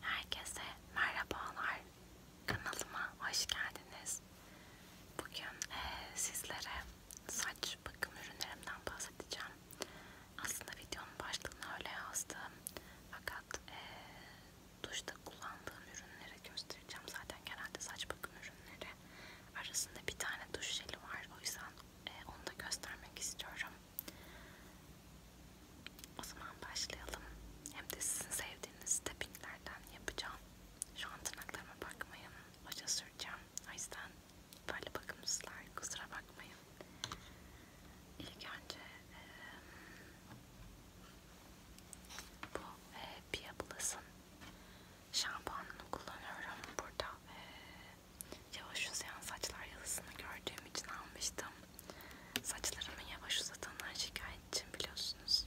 Herkese merhabalar. Kanalıma hoş geldiniz. Bugün e, sizlere saç bakım ürünlerimden bahsedeceğim. Aslında videonun başlığını öyle yazdım. Fakat e, duşta kullandığım ürünleri göstereceğim. Zaten genelde saç bakım ürünleri arasında bir tane duş jeli var. O yüzden e, onu da göstermek istiyorum. O zaman başlayalım. Hem de sizin sevdiğiniz tappinglerden yapacağım. Şu an tırnaklarıma bakmayın. Hoca süreceğim. O yüzden böyle bakımsızlar. Kusura bakmayın. İlk önce e, bu e, Pia Plus'ın şampuanını kullanıyorum. Burada e, yavaş uzayan saçlar yazısını gördüğüm için almıştım. Saçlarımı yavaş uzatanlar şikayetçim biliyorsunuz.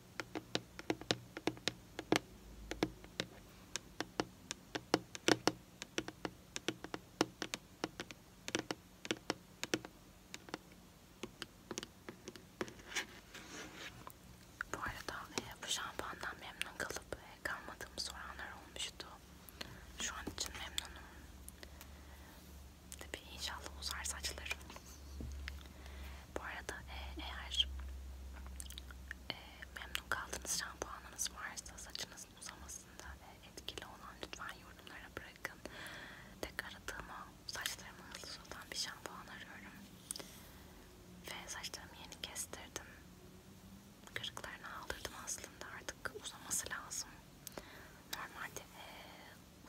Bu arada e, bu şampuandan memnun kalıp e, kalmadığımı soranlar olmuştu. Şu an için memnunum. Tabii inşallah uzar saçlarım bu arada e, eğer e, memnun kaldığınız şampuanınız varsa saçınızın uzamasında e, etkili olan lütfen yorumlara bırakın. Tekrar aradığıma saçlarımı hızlı uzatan bir şampuan arıyorum. Ve saçlarımı yeni kestirdim. Kırıklarını aldırdım aslında artık uzaması lazım. Normalde e,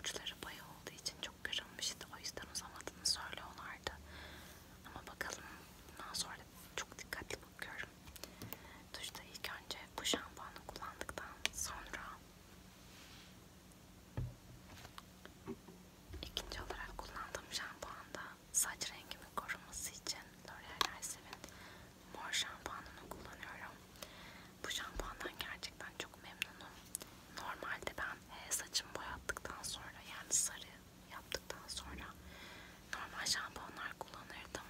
uçları bay olduğu için çok kırılmıştı. O yüzden uzamadığını söylüyorlardı. Ama bakalım bundan sonra çok dikkatli bakıyorum. Duşta ilk önce bu şampuanı kullandıktan sonra ikinci olarak kullandığım şampuanda saç rengimi koruması için L'Oreal Elsevier'in mor şampuanını kullanıyorum. Bu şampuandan gerçekten çok memnunum normalde ben e, saçımı boyattıktan sonra yani sarı yaptıktan sonra normal şampuanlar kullanırdım.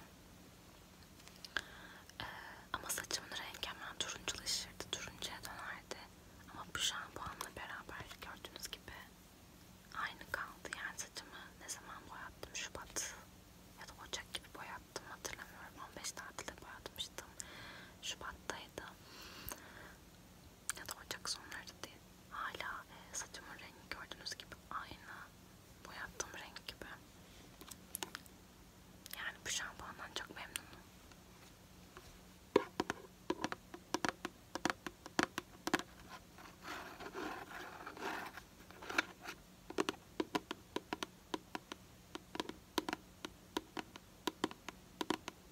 Ee, ama saçımın rengi hemen turunculaşırdı, turuncuya dönerdi. Ama bu şampuanla beraber gördüğünüz gibi aynı kaldı. Yani saçımı ne zaman boyattım? Şubat ya da Ocak gibi boyattım hatırlamıyorum. 15 tatilde boyatmıştım. Şubat'taydı ya da ocak sonları değil. Hala e, saçımın rengi gördüğünüz gibi aynı bu yaptığım renk gibi. Yani bu şampuandan çok memnunum.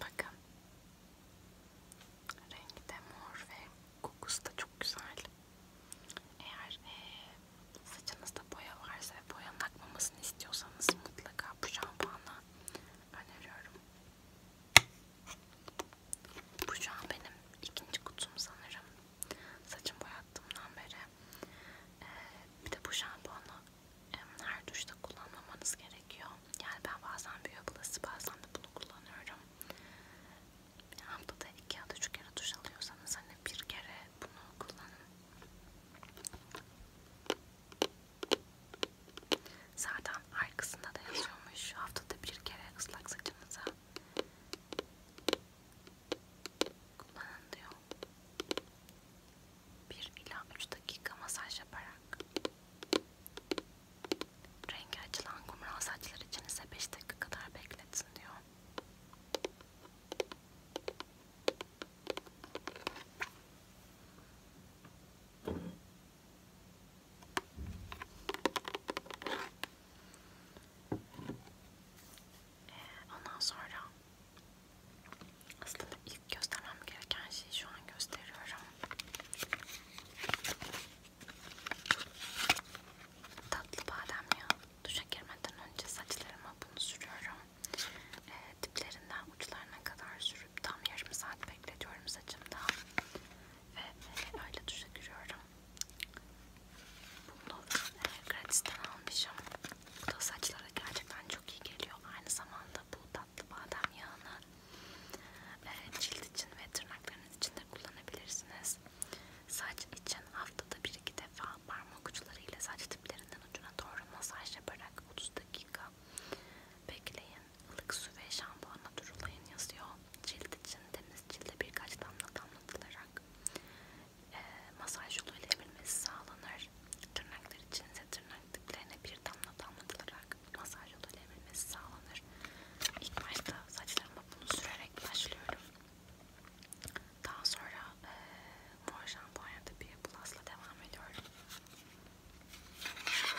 Bakın. Rengi de mor ve kokusu da çok güzel. Eğer e, saçınızda boya varsa ve boyanın akmamasını istiyorsanız mutlaka bu şampuanı öneriyorum. Bu şu an benim ikinci kutum sanırım saçım boyattığımdan beri. Ee, bir de bu şampuanı her duşta kullanmamanız gerekiyor. Yani ben bazen Beauty Plus'ı bazen de bunu kullanıyorum. Haftada iki ya da üç kere duş alıyorsanız hani bir kere bunu kullanın. Zaten arkasında da yazıyormuş haftada bir kere ıslak saçınıza Kullanın diyor. 1 ila 3 dakika masaj yaparak. Rengi açılan kumral saçlar için ise 5 dakika kadar bekletsin diyor. Ee, ondan sonra aslında ilk göstermem gereken şeyi şu an gösteriyorum. Tatlı badem yağı. Duşa girmeden önce saçlarıma bunu sürüyorum. E, diplerinden uçlarına kadar sürüp tam yarım saat bekletiyorum saçımda. Ve öyle duşa giriyorum. Bunu gratis'ten almışım. Bu da saçlara gerçekten çok iyi geliyor. Aynı zamanda bu tatlı badem yağını cilt için ve tırnaklarınız için de kullanabilirsiniz. Saç için haftada 1-2 defa parmak uçlarıyla saç tiplerinden ucuna doğru masaj yaparak 30 dakika bekleyin. Ilık su ve şampuanla durulayın yazıyor cilt için temiz cilde birkaç damla damlatılarak e, masaj yoluyla emilmesi sağlanır. Tırnaklar için ise tırnak diplerine bir damla damlatılarak masaj yoluyla emilmesi sağlanır. İlk başta saçlarıma bunu sürerek başlıyorum. Daha sonra e, mor şampuanyada bir plusla devam ediyorum.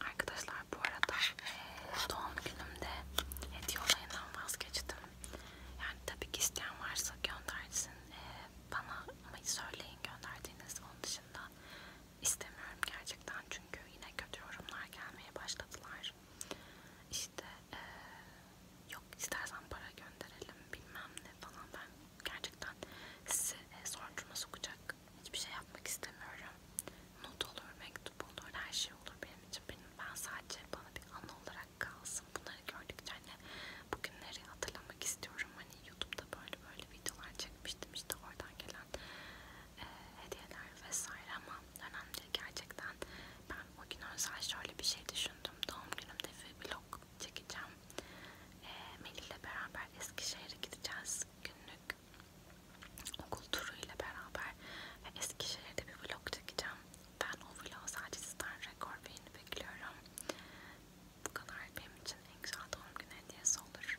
Arkadaşlar bu arada e, doğum günümde hediye olayından vazgeçtim. Yani tabii ki isteyen varsa göndersin e, bana ama söyleyin gönderdiğiniz onun dışında istemiyorum gerçekten çünkü yine kötü yorumlar gelmeye başladılar. İşte e, yok istersen para gönderelim bilmem ne falan ben gerçekten sizi e, sonucuma sokacak hiçbir şey yapmak istemiyorum. Not olur, mektup olur, her şey olur benim için. Benim, ben sadece bana bir anı olarak kalsın. Bunları gördükçe hani bugünleri hatırlamak istiyorum. Hani YouTube'da böyle böyle videolar çekmiştim işte oradan gelen e, hediyeler vesaire ama önemli gerçekten yüzden ben o gün özel şöyle bir şey düşündüm. Doğum günümde bir vlog çekeceğim. E, Melih'le beraber Eskişehir'e gideceğiz günlük okul turuyla beraber ve Eskişehir'de bir vlog çekeceğim. Ben o vlogu sadece sizden rekor beğeni bekliyorum. Bu kadar benim için en güzel doğum günü hediyesi olur.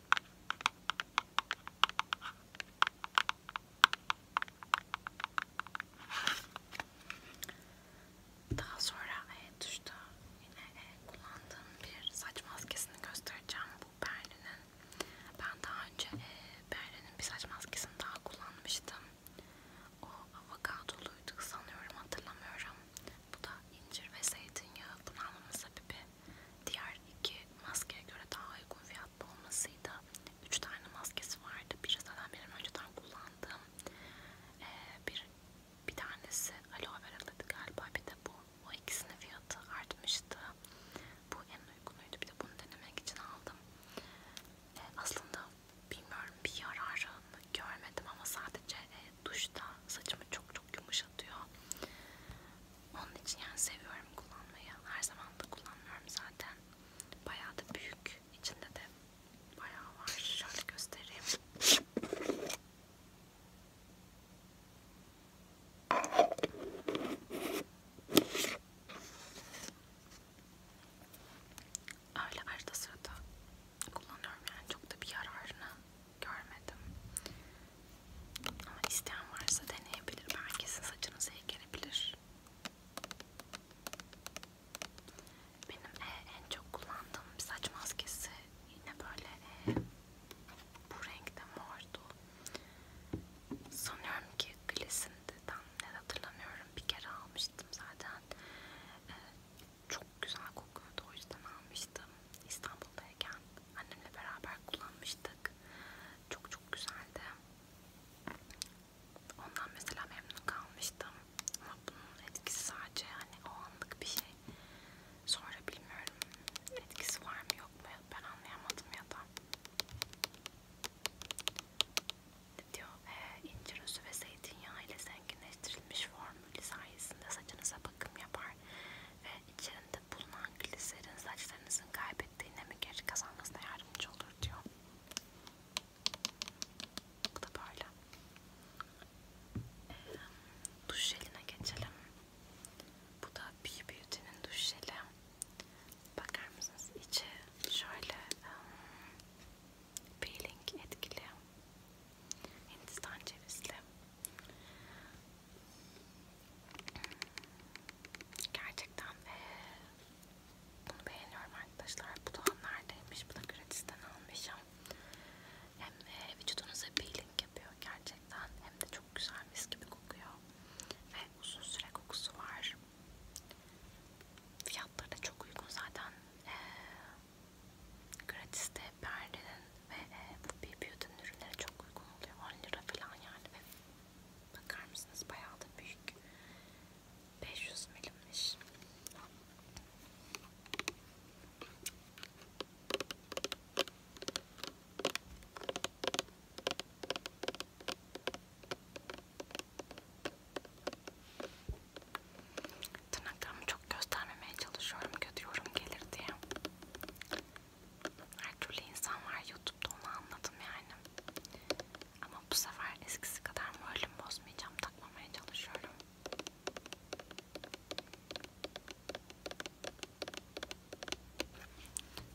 Daha sonra e tuşta yine e, kullandığım bir saç maskesini göstereceğim. Bu Berlin'in. Ben daha önce e, Berlin'in bir saç maskesini daha kullanmıştım. O avokadoluydu sanıyorum hatırlamıyorum. Bu da incir ve zeytinyağı. Bunu almamın sebebi diğer iki maskeye göre daha uygun fiyatlı olmasıydı. Üç tane maskesi vardı. Biri zaten benim önceden kullandığım ee, bir bir tanesi aloe vera'lıydı galiba bir de bu. O ikisinin fiyatı artmıştı. Bu en uygunuydu. Bir de bunu denemek için aldım. Ee, aslında bilmiyorum bir yararını görmedim ama sadece e, duşta saçımı çok çok yumuşatıyor. Onun için yani seviyorum kullanmayı. Her zaman da kullanmıyorum zaten. Bayağı da büyük. İçinde de bayağı var. Şöyle göstereyim. Öyle arada sırada kullanıyorum yani çok da bir yararını görmedim. Ama isteyen varsa deneyebilir. Belki sizin saçınıza iyi gelebilir. Benim e, en çok kullandığım bir saç maskesi yine böyle e, bu renkte mordu. Sanıyorum ki Glissin'de tam ne hatırlamıyorum bir kere almıştım zaten. E, çok güzel kokuyordu o yüzden almıştım İstanbul'dayken annemle beraber kullanmıştık çok çok güzeldi ondan mesela memnun kalmıştım ama bunun etkisi sadece hani o anlık bir şey sonra bilmiyorum etkisi var mı yok mu ben anlayamadım ya da diyor e, incir özü ve zeytinyağı ile zenginleştirilmiş form ampulü sayesinde saçınıza bakım yapar ve içerinde bulunan gliserin saçlarınızın kaybettiği nemi geri kazanmasına yardımcı olur diyor. Bu da böyle. Ee, duş jeline geçelim. Bu da Be Beauty'nin duş jeli. Bakar mısınız? İçi şöyle um, peeling etkili. Hindistan cevizli. Gerçekten ee, bunu beğeniyorum arkadaşlar. Bu da neredeymiş? Bu da gratis'ten almışım. Hem e, vücudunuza peeling yapıyor gerçekten. Hem de çok güzel mis gibi kokuyor. Ve uzun süre kokusu var. Fiyatları da çok uygun zaten. Ee, Gratis de perdenin ve e, bu bir beauty'nin ürünleri çok uygun oluyor. 10 lira falan yani. Ve bakar mısınız bayağı da büyük. 500 milimmiş. Tırnaklarımı çok göstermemeye çalışıyorum. Kötü yorum gelir diye. Her türlü insan var YouTube'da onu anladım yani. Ama bu sefer eskisi kadar moralim bozmayacağım. Takmamaya çalışıyorum.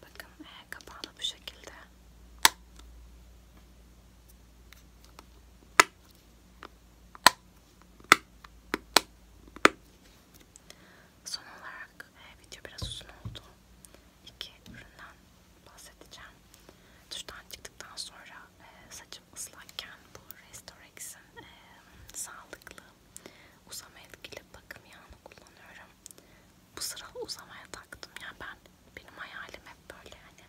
Bakın e, kapağı da bu şekilde. Son olarak e, video biraz uzun oldu. İki üründen bahsedeceğim. Duştan çıktıktan sonra e, saçım ıslakken bu Restorex'in e, sağlıklı uzama etkili bakım yağını kullanıyorum. Bu sıra uzamaya taktım. Yani ben benim hayalim hep böyle hani böyle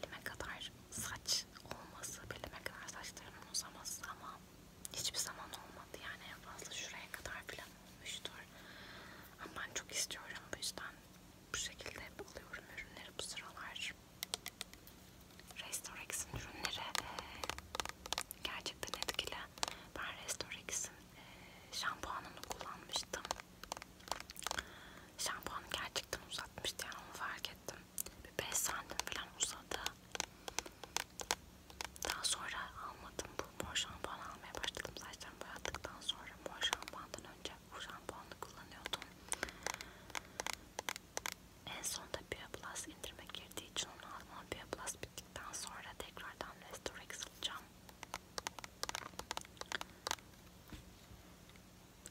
belime kadar saç olması, belime kadar saçlarımın uzaması ama hiçbir zaman olmadı yani en fazla şuraya kadar falan olmuştur. Ama ben çok istiyorum bu yüzden bu şekilde alıyorum ürünleri bu sıralar. Restorex'in ürünleri e, gerçekten etkili. Ben Restorex'in e, şampuanını kullanmıştım. Şampuanı gerçekten uzatmıştı yani onu fark ettim. Bir 5 santim falan uzadı. Daha sonra almadım bu mor şampuanı almaya başladım. Saçlarımı boyattıktan sonra mor şampuandan önce bu şampuanı kullanıyordum. En sonda Bioplus indirime girdiği için onu aldım ama Bioplus bittikten sonra tekrardan Restorex alacağım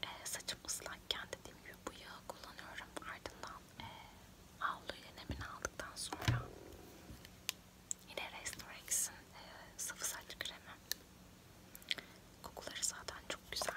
e, saçım ıslakken dediğim gibi bu yağı kullanıyorum. Ardından e, havluyla nemini aldıktan sonra yine Restorex'in e, sıvı saç kremi. Kokuları zaten çok güzel.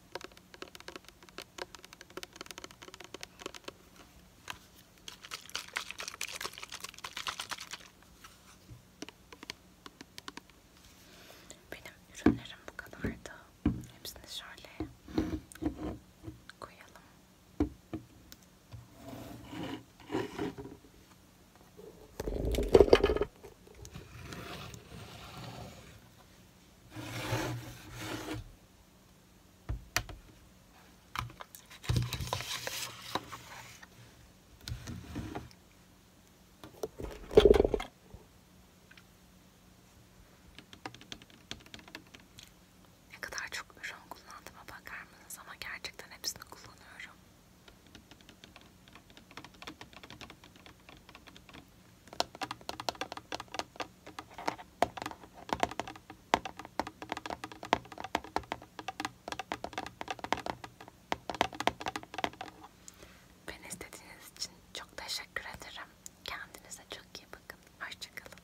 Benim ürünlerim bu kadardı. Hepsini şöyle koyalım. Ne kadar çok ürün kullandığıma bakar mısınız ama gerçekten hepsini kullanıyorum. Beni istediğiniz için çok teşekkür ederim. Kendinize çok iyi bakın. Hoşçakalın.